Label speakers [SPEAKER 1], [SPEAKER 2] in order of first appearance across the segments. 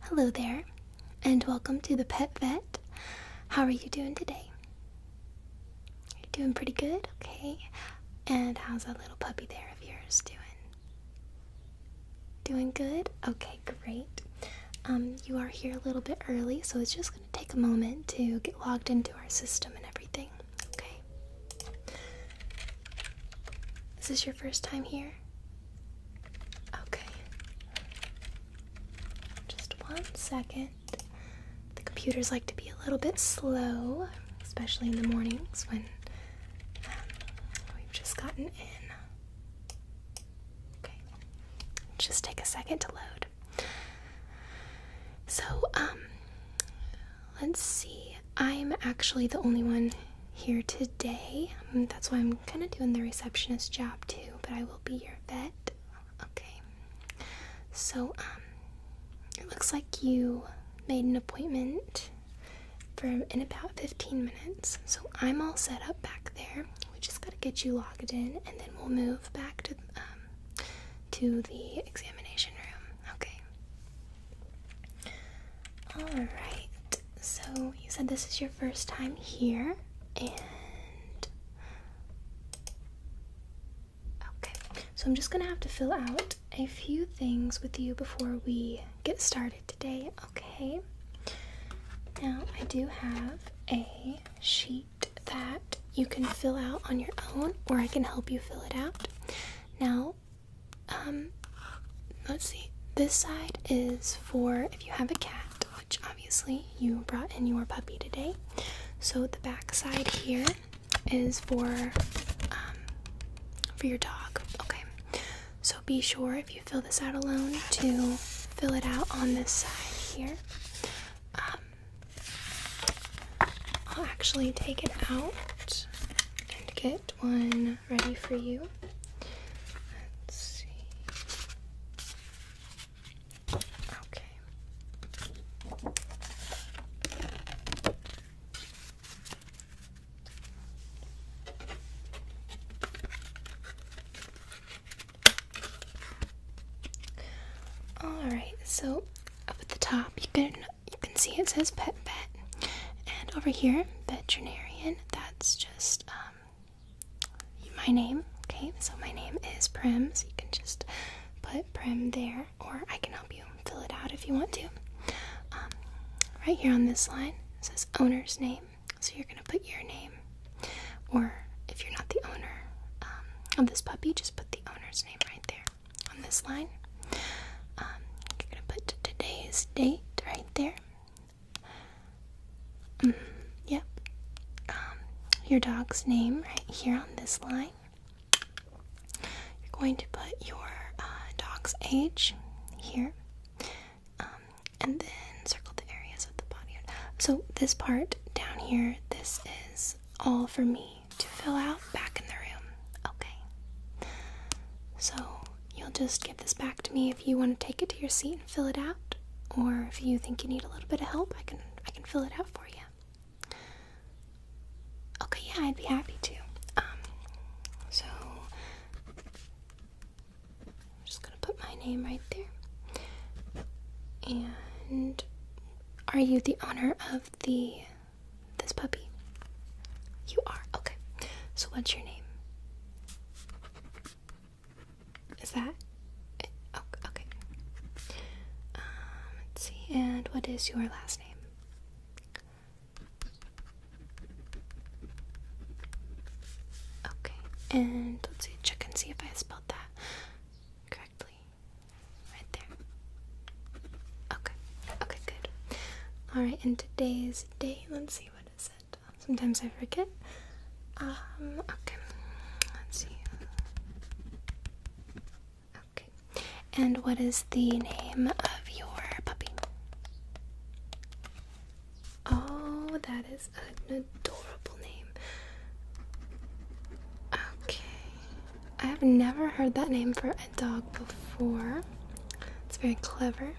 [SPEAKER 1] Hello there, and welcome to the Pet Vet. How are you doing today? You're doing pretty good, okay. And how's that little puppy there of yours doing? Doing good? Okay, great. Um, you are here a little bit early, so it's just going to take a moment to get logged into our system and everything, okay? Is this your first time here? Okay. Just one second. The computers like to be a little bit slow, especially in the mornings when um, we've just gotten in. Okay. Just take a second to load. So, um, let's see. I'm actually the only one here today. Um, that's why I'm kind of doing the receptionist job too, but I will be your vet. Okay. So, um, it looks like you made an appointment for in about 15 minutes. So I'm all set up back there. We just gotta get you logged in, and then we'll move back to um, to the examination room. Okay. Alright, so you said this is your first time here, and. Okay, so I'm just gonna have to fill out a few things with you before we get started today, okay? Now, I do have a sheet that you can fill out on your own, or I can help you fill it out. Now, um, let's see. This side is for if you have a cat, which obviously you brought in your puppy today. So the back side here is for um, for your dog. Okay. So be sure if you fill this out alone to fill it out on this side here. Um, I'll actually take it out and get one ready for you. Let's see. Okay. Alright, so up at the top you can you can see it says pet vet. And over here, veterinarian, that's just just um, my name. Okay, so my name is Prim, so you can just put Prim there, or I can help you fill it out if you want to. Um, right here on this line says owner's name, so you're gonna put your name, or if you're not the owner um, of this puppy, just put the owner's name right there on this line. you're gonna put today's date right there. Mm, yep. Um, your dog's name right here on this line. You're going to put your uh, dog's age here, um, and then circle the areas of the body. So this part down here, this is all for me to fill out back in the room. Okay. So you'll just give this back to me if you want to take it to your seat and fill it out, or if you think you need a little bit of help, I can I can fill it out for you. Okay, yeah, I'd be happy to. Um, so I'm just gonna put my name right there. And are you the owner of the this puppy? You are. Okay. So what's your name? Is that oh, okay. Um, let's see. And what is your last name? Okay. And let's see. Check and see if I spelled that correctly. Right there. Okay. Okay. Good. All right. And today's day. Let's see. What is it? Sometimes I forget. Um, okay. Let's see. Okay. And what is the name of your puppy? Oh, that is an adorable name. Okay. I have never heard that name for a dog before. It's very clever.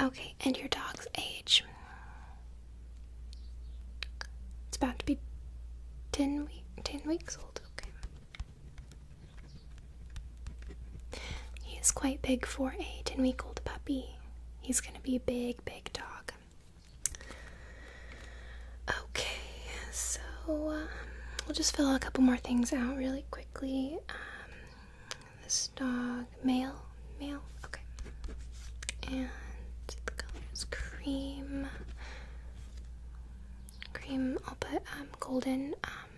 [SPEAKER 1] Okay, and your dog's age? It's about to be 10, weeks. 10 weeks old. Okay. He is quite big for a 10 week old puppy. He's going to be a big, big dog. Okay, so um, we'll just fill a couple more things out really quickly. Um, this dog, male, male, okay. And the color is cream. Cream, I'll put um, golden, um,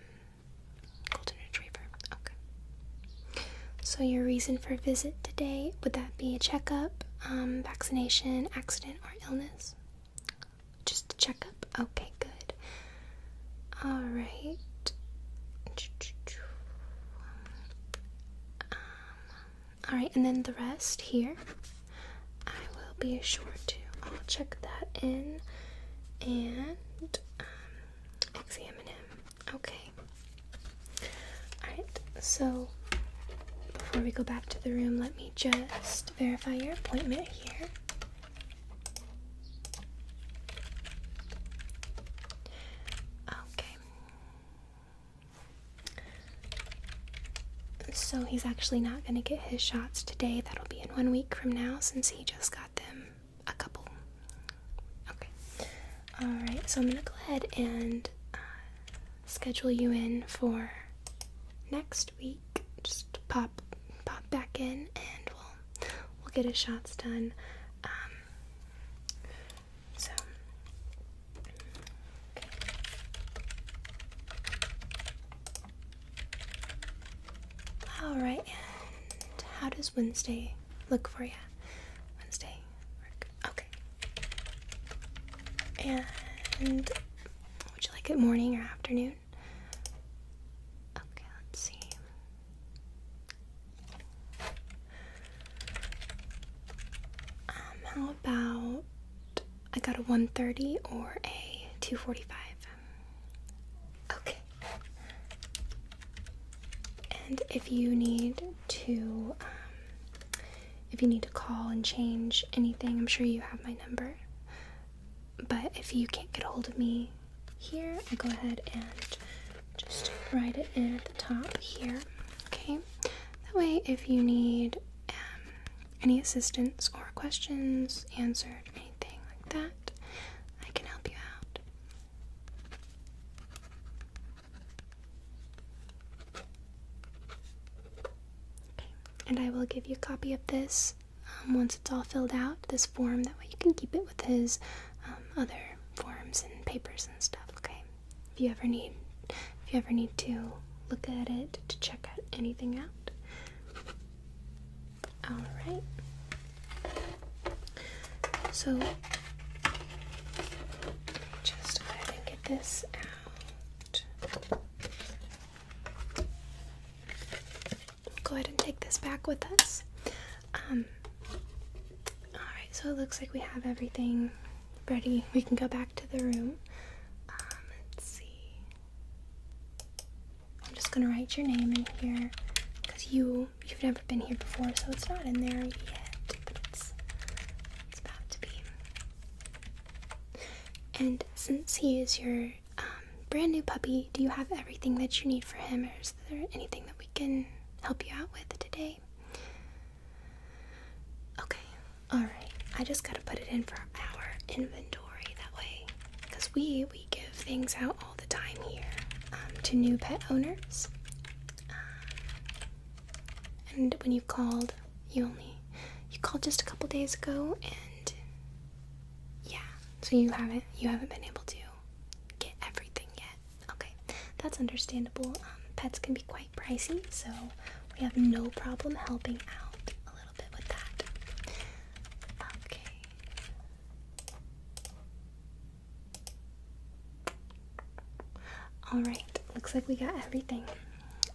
[SPEAKER 1] golden retriever, okay. So your reason for visit today, would that be a checkup, um, vaccination, accident, or illness? Just a checkup? Okay, good. All right. Um, all right, and then the rest here, I will be sure to. I'll check that in and um, examine him. Okay. All right. So before we go back to the room, let me just verify your appointment here. Okay. So he's actually not going to get his shots today. That'll be in one week from now since he just got them a couple. Okay. Alright, so I'm going to go ahead and uh, schedule you in for next week. Just pop pop back in and we'll we'll get his shots done. Um, so. All right, and how does Wednesday look for you? Wednesday, Okay. And would you like it morning or afternoon? Okay, let's see. Um, how about I got a 130 or a 245? Okay. And if you need to, um, if you need to call and change anything, I'm sure you have my number. But if you can't get hold of me, here. i go ahead and just write it in at the top here. Okay, that way if you need um, any assistance or questions answered, anything like that, I can help you out. Okay, and I will give you a copy of this um, once it's all filled out. This form. That way you can keep it with his um, other forms and papers and stuff. Okay. If you ever need, if you ever need to look at it to check out anything out. All right. So just go ahead and get this out. We'll go ahead and take this back with us. Um, alright, so it looks like we have everything ready. We can go back to the room. Um, let's see. I'm just gonna write your name in here because you you've never been here before, so it's not in there yet, but it's it's about to be. And since he is your um, brand new puppy, do you have everything that you need for him, or is there anything that we can help you out with today? Okay, alright. I just gotta put it in for our inventory that way. Because we, we give things out all the time here um, to new pet owners. Uh, and when you called, you only you called just a couple days ago and yeah so you haven't you haven't been able to get everything yet. Okay, that's understandable. Um, pets can be quite pricey, so we have no problem helping out a little bit with that. Okay. All right, looks like we got everything.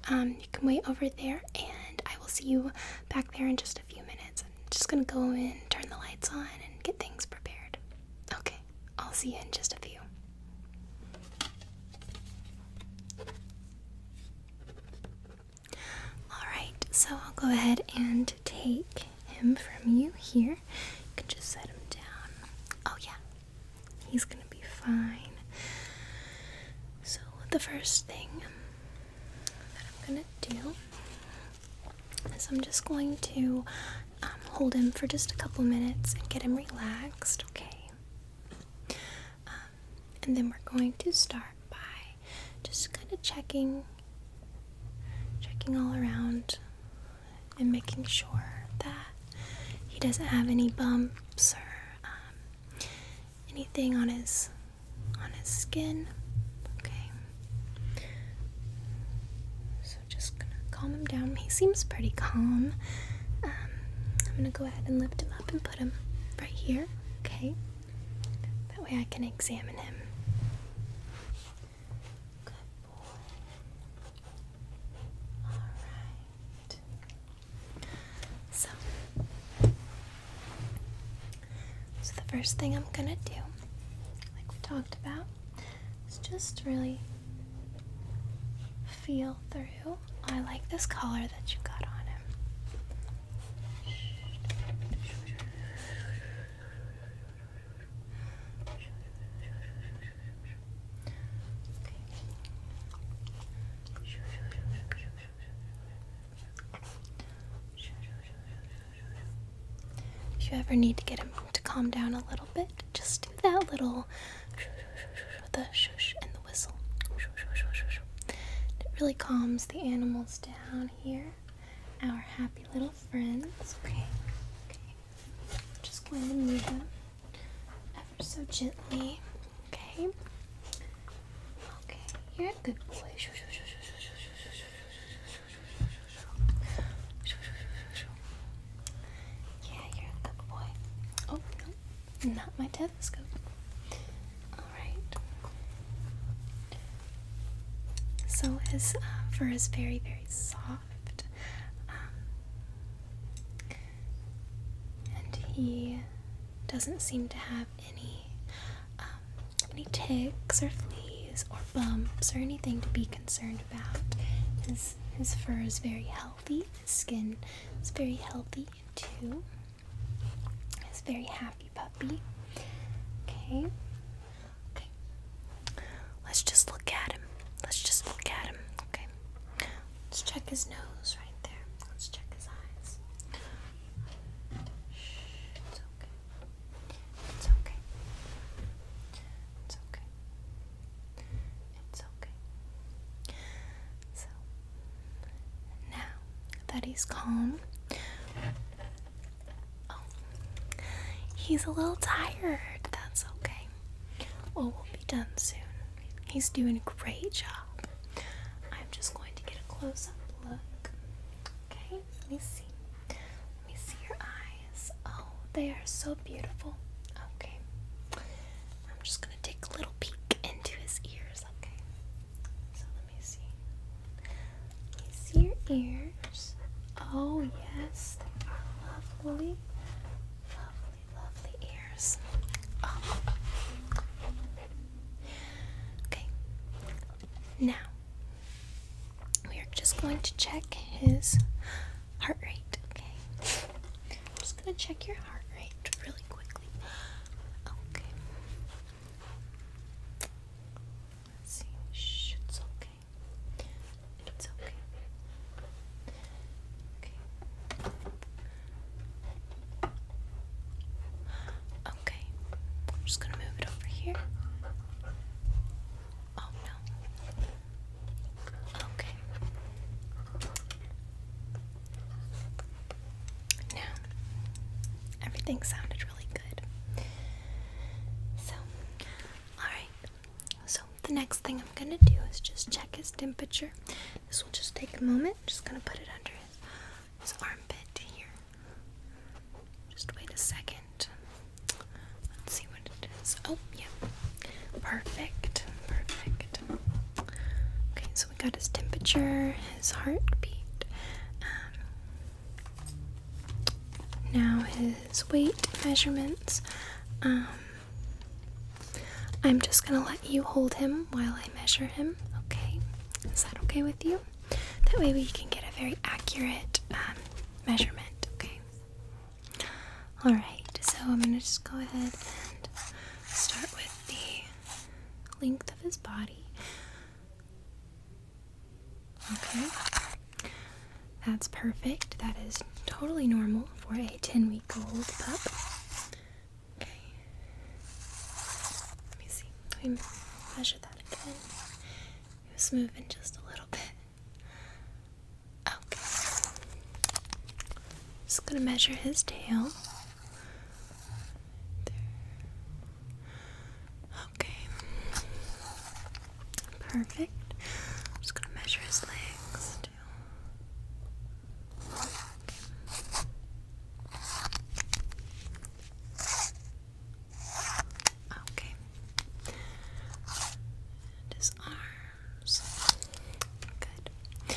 [SPEAKER 1] Um, you can wait over there, and I will see you back there in just a few minutes. I'm just gonna go in, turn the lights on, and get things prepared. Okay, I'll see you in just a few. Alright, so I'll go ahead and take him from you here. You can just set him down. Oh, yeah, he's gonna be fine. So, the first thing that I'm gonna do so I'm just going to um, hold him for just a couple minutes and get him relaxed, okay? Um, and then we're going to start by just kind of checking, checking all around and making sure that he doesn't have any bumps or um, anything on his on his skin. Okay. So just gonna calm him down. He seems pretty calm. Um, I'm gonna go ahead and lift him up and put him right here, okay? That way I can examine him. Good boy. Alright. So, so the first thing I'm gonna do, like we talked about, is just really feel through. I like this color that you got on him. If you ever need to get him to calm down a little bit, just do that little the shush and the whistle. It really calms the animals down here, our happy little friends. Okay, okay. Just going to move them ever so gently. Okay. Okay, you're a good boy. Yeah, you're a good boy. Oh, no, not my telescope. Alright. So his uh, fur is very, very soft. Um, and he doesn't seem to have any um, any ticks or fleas or bumps or anything to be concerned about. His, his fur is very healthy, his skin is very healthy too. He's very happy puppy. Okay. Let's just look at him. Let's just look at him. Okay. Let's check his nose right there. Let's check his eyes okay. It's okay. It's okay. It's okay. So now that he's calm, oh, he's a little tired. That's okay. Well, we'll be done soon. He's doing a great job. I'm just going to get a close up look. Okay, let me see. Let me see your eyes. Oh, they are so beautiful. Okay. I'm just gonna take a little peek into his ears, okay? So let me see. see your ears. Oh yes, they are lovely. Lovely, lovely ears. Oh, okay. Now we are just going to check his heart rate, okay? I'm just going to check your heart rate really quickly. Okay. see. it's okay. It's okay. Okay. Okay. I'm just going to move it over here. Oh no. Okay. Now, everything sounded really good. So, alright. So, the next thing I'm gonna do is just check his temperature. This will just take a moment. just gonna put it under his, his armpit here. Just wait a second. Let's see what it is. Oh, yeah. Perfect. Perfect. Okay, so we got his temperature, his heartbeat, um, now his weight measurements. Um, I'm just gonna let you hold him while I measure him, okay? Is that okay with you? That way we can get a very accurate um, measurement, okay? Alright, so I'm going to just go ahead and start with the length of his body. Okay, that's perfect. That is totally normal for a 10 week old pup. Okay, let me see. Let me measure that again. It was moving just a little bit. Okay. Just gonna measure his tail. Okay. Perfect. I'm just gonna measure his legs Okay. And his arms. Good.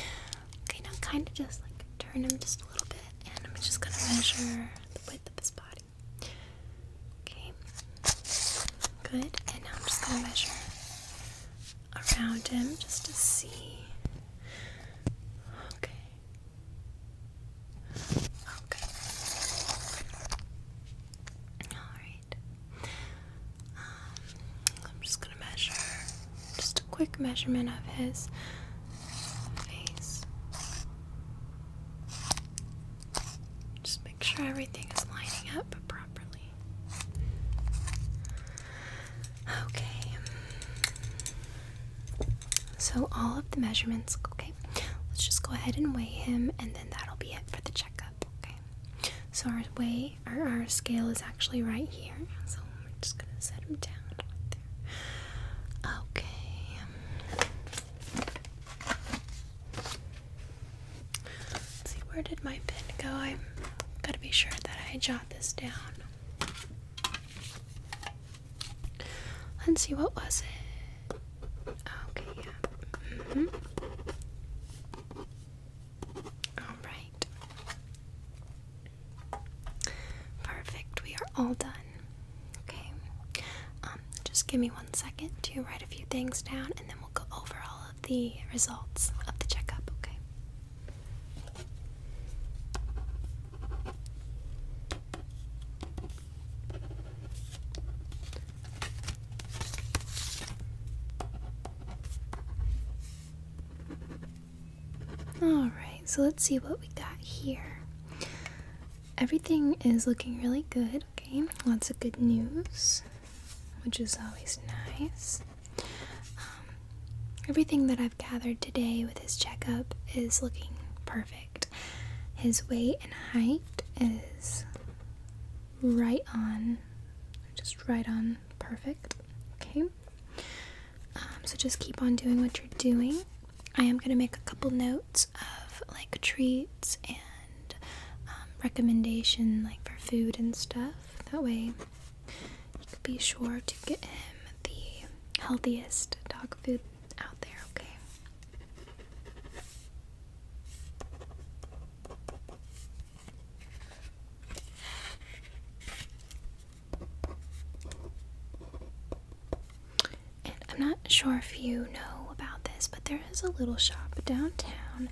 [SPEAKER 1] Okay, now kind of just like turn him just a little bit, and I'm just gonna measure the width of his body. Okay. Good. And now I'm just gonna measure around him just to see. Okay. Okay. Alright. Um, I'm just gonna measure just a quick measurement of his face. Just make sure everything is lining up properly. Okay. So all of the measurements, okay. Let's just go ahead and weigh him and then that'll be it for the checkup okay? So our way, our, our scale is actually right here. So we're just gonna set him down right there. Okay. Let's see, where did my pen go? I gotta be sure that I jot this down. Let's see, what was it? Okay, yeah. Mm -hmm. All right. Perfect. We are all done. Okay. Um, just give me one second to write a few things down and then we'll go over all of the results of the checkup, okay? Alright, so let's see what we got here. Everything is looking really good, okay? Lots of good news, which is always nice. Um, everything that I've gathered today with his checkup is looking perfect. His weight and height is right on, just right on perfect. Okay, um, so just keep on doing what you're doing. I am going to make a couple notes of like treats and um, recommendation like for food and stuff. That way, you could be sure to get him the healthiest dog food out there. Okay. I'm not sure if you know about this, but there is a little shop downtown.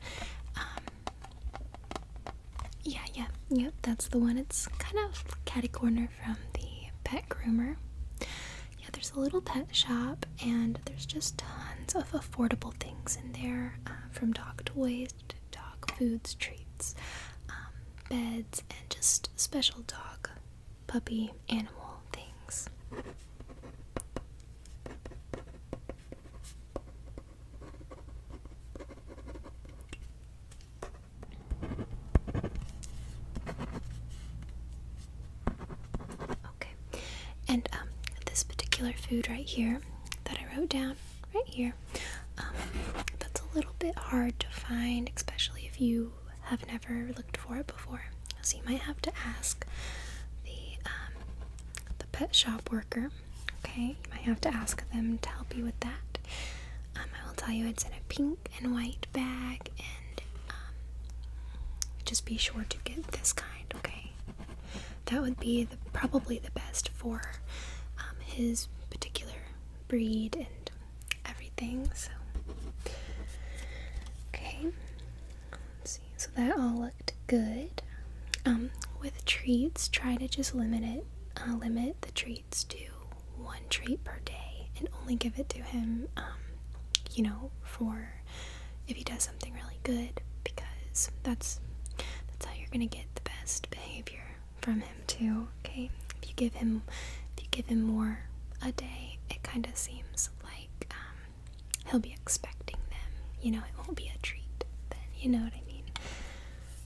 [SPEAKER 1] Um, yeah, yeah, yep, that's the one. It's kind of catty corner from the pet groomer. Yeah, there's a little pet shop, and there's just tons of affordable things in there uh, from dog toys to dog foods, treats, um, beds, and just special dog, puppy, animal things. And um, this particular food right here that I wrote down right here, um, that's a little bit hard to find, especially if you have never looked for it before. So you might have to ask the um, the pet shop worker. Okay, you might have to ask them to help you with that. I will tell you it's in a pink and white bag, and just be sure to get this kind. Okay, that would be the, probably the best for um, his particular breed and everything. So, okay, see. So that all looked good. Um, with treats, try to just limit it. Uh, limit the treats to one treat per day, and only give it to him. Um, you know, for if he does something really good because that's that's how you're gonna get the best behavior from him too okay if you give him if you give him more a day it kind of seems like um, he'll be expecting them you know it won't be a treat then you know what I mean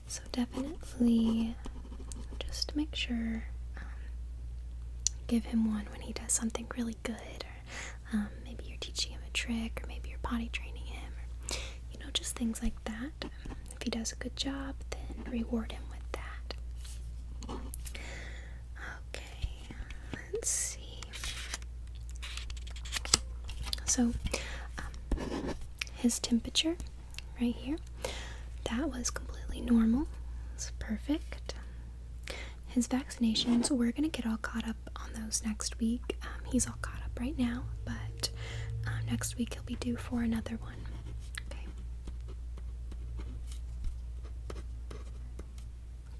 [SPEAKER 1] so definitely just make sure um, give him one when he does something really good, or um, maybe you're teaching him a trick, or maybe you're potty training him, you know, just things like that. Um, if he does a good job, then reward him with that. Okay, let's see. So, um, his temperature right here, that was completely normal. It's perfect his vaccinations. We're gonna get all caught up on those next week. Um, he's all caught up right now, but um, next week he'll be due for another one. Okay.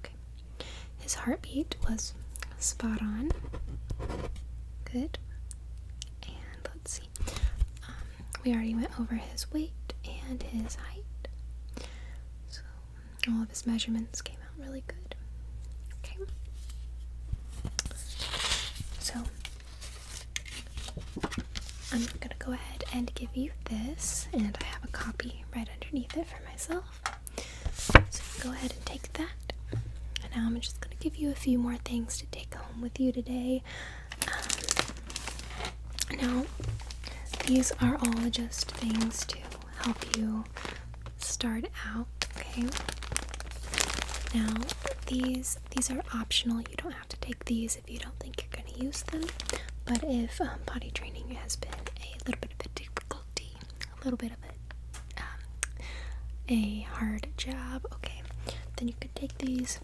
[SPEAKER 1] Okay. His heartbeat was spot on. Good. And let's see. Um, we already went over his weight and his height. So all of his measurements came out really good. Okay. So I'm gonna go ahead and give you this, and I have a copy right underneath it for myself. So go ahead and take that. And now I'm just gonna give you a few more things to take home with you today. Um, now, these are all just things too help you start out, okay? Now, these these are optional. You don't have to take these if you don't think you're going to use them. But if um, potty training has been a little bit of a difficulty, a little bit of a um, a hard job, okay, then you could take these.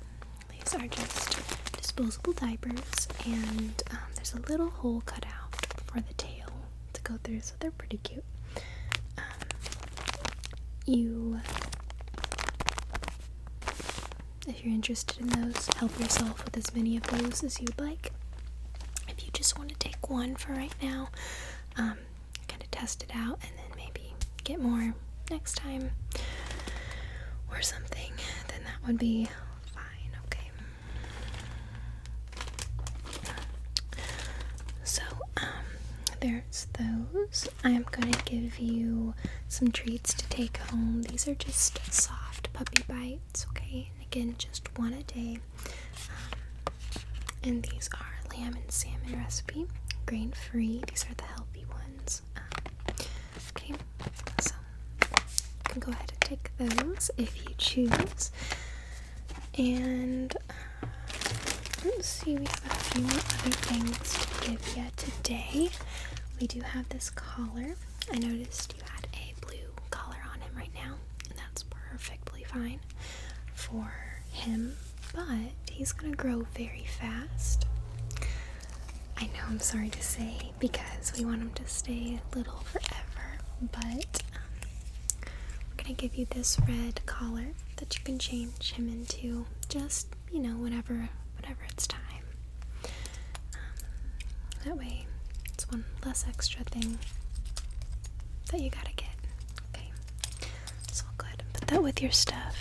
[SPEAKER 1] These are just disposable diapers, and um, there's a little hole cut out for the tail to go through, so they're pretty cute. Um, you, if you're interested in those, help yourself with as many of those as you'd like. If you just want to take one for right now, um, kind of test it out and then maybe get more next time or something, then that would be fine, okay? So, um, there's those. I'm going to give you some treats to take home. These are just soft puppy bites, okay? And again, just one a day. Um, and these are lamb and salmon recipe, grain free. These are the healthy ones. Um, okay, so you can go ahead and take those if you choose. And uh, let's see, we have a few other things to give you today. We do have this collar. I noticed you had a blue collar on him right now, and that's perfectly fine for him, but he's gonna grow very fast. I know I'm sorry to say because we want him to stay little forever, but um, we're gonna give you this red collar that you can change him into just, you know, whenever whenever it's time. Um, that way it's one less extra thing that you gotta get. Okay. So I'll put that with your stuff.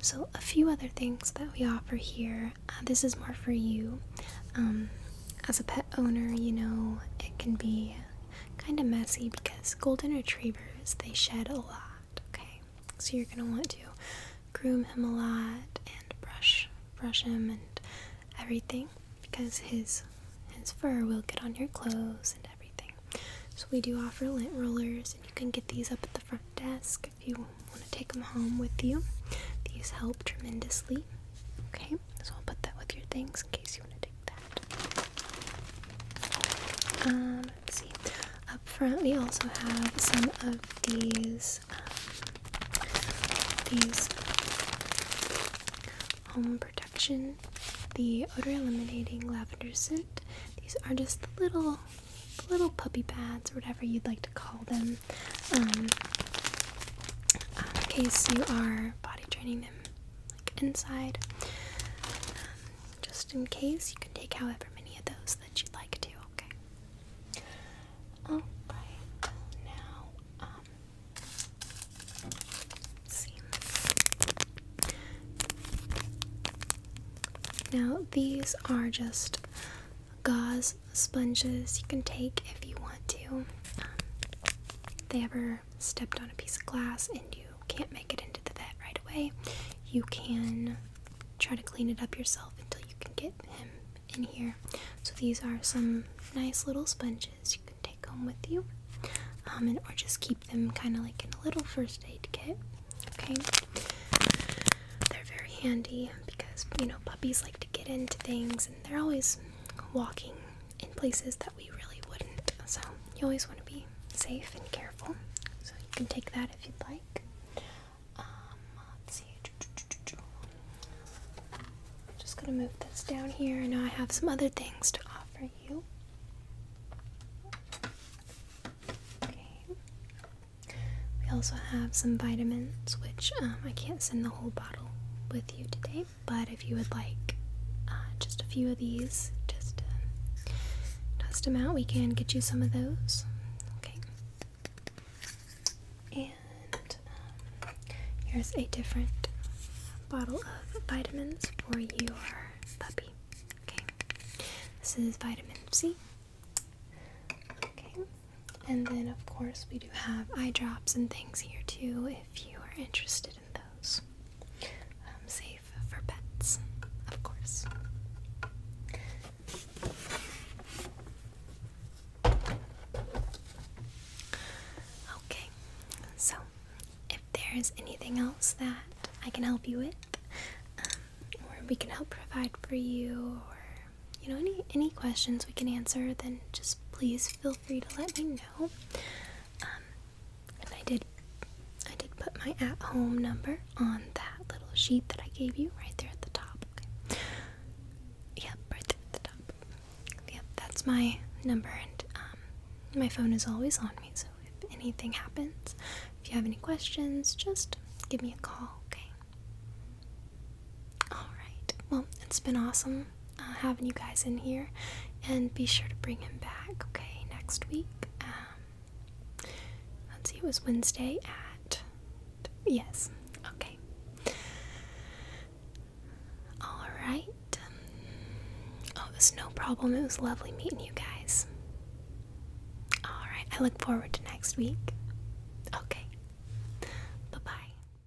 [SPEAKER 1] So, a few other things that we offer here uh, this is more for you um, as a pet owner you know it can be kind of messy because golden retrievers they shed a lot okay so you're gonna want to groom him a lot and brush brush him and everything because his his fur will get on your clothes and everything so we do offer lint rollers and you can get these up at the front desk if you want to take them home with you these help tremendously okay so I'll put that with your things in case you want to take that. Um, see. Up front, we also have some of these um, these home protection, the odor eliminating lavender scent. These are just little little puppy pads or whatever you'd like to call them in um, um, case you are body training them like inside. Um, just in case, you can take however many of those that you'd like to, okay? Alright, now, see. Now, these are just gauze sponges you can take if you want to. if um, they ever stepped on a piece of glass and you can't make it into the vet right away, you can try to clean it up yourself until you can get him in here. So these are some nice little sponges you can take home with you, um, and or just keep them kind of like in a little first aid kit. Okay, they're very handy because you know puppies like to get into things, and they're always walking in places that we really wouldn't. So you always want to be safe and careful. So you can take that if you'd like. Um, let's see. I'm just gonna move this down here. I know I have some other things to offer you. Okay. We also have some vitamins, which um, I can't send the whole bottle with you today but if you would like uh, just a few of these, just test uh, them out. We can get you some of those. Okay. And um, here's a different bottle of vitamins for your puppy. Okay. This is vitamin C. Okay. And then, of course, we do have eye drops and things here too if you are interested in those. Um, safe for pets, of course. Okay, so if there is anything else that I can help you with, um, or we can help provide for you, or you know any any questions we can answer, then just please feel feel free to let me know. Um, and I did, I did put my at-home number on that little sheet that I gave you right there at the top. Okay. Yep, right at the top. Yep, that's my number, and um, my phone is always on me. So if anything happens, if you have any questions, just give me a call. Okay. Alright, well, it's been awesome uh, having you guys in here, and be sure to bring him back, okay, next week. Um, let's see, it was Wednesday at. Yes, okay. Alright. Oh, it was no problem. It was lovely meeting you guys. Alright, I look forward to next week. Okay. Bye bye.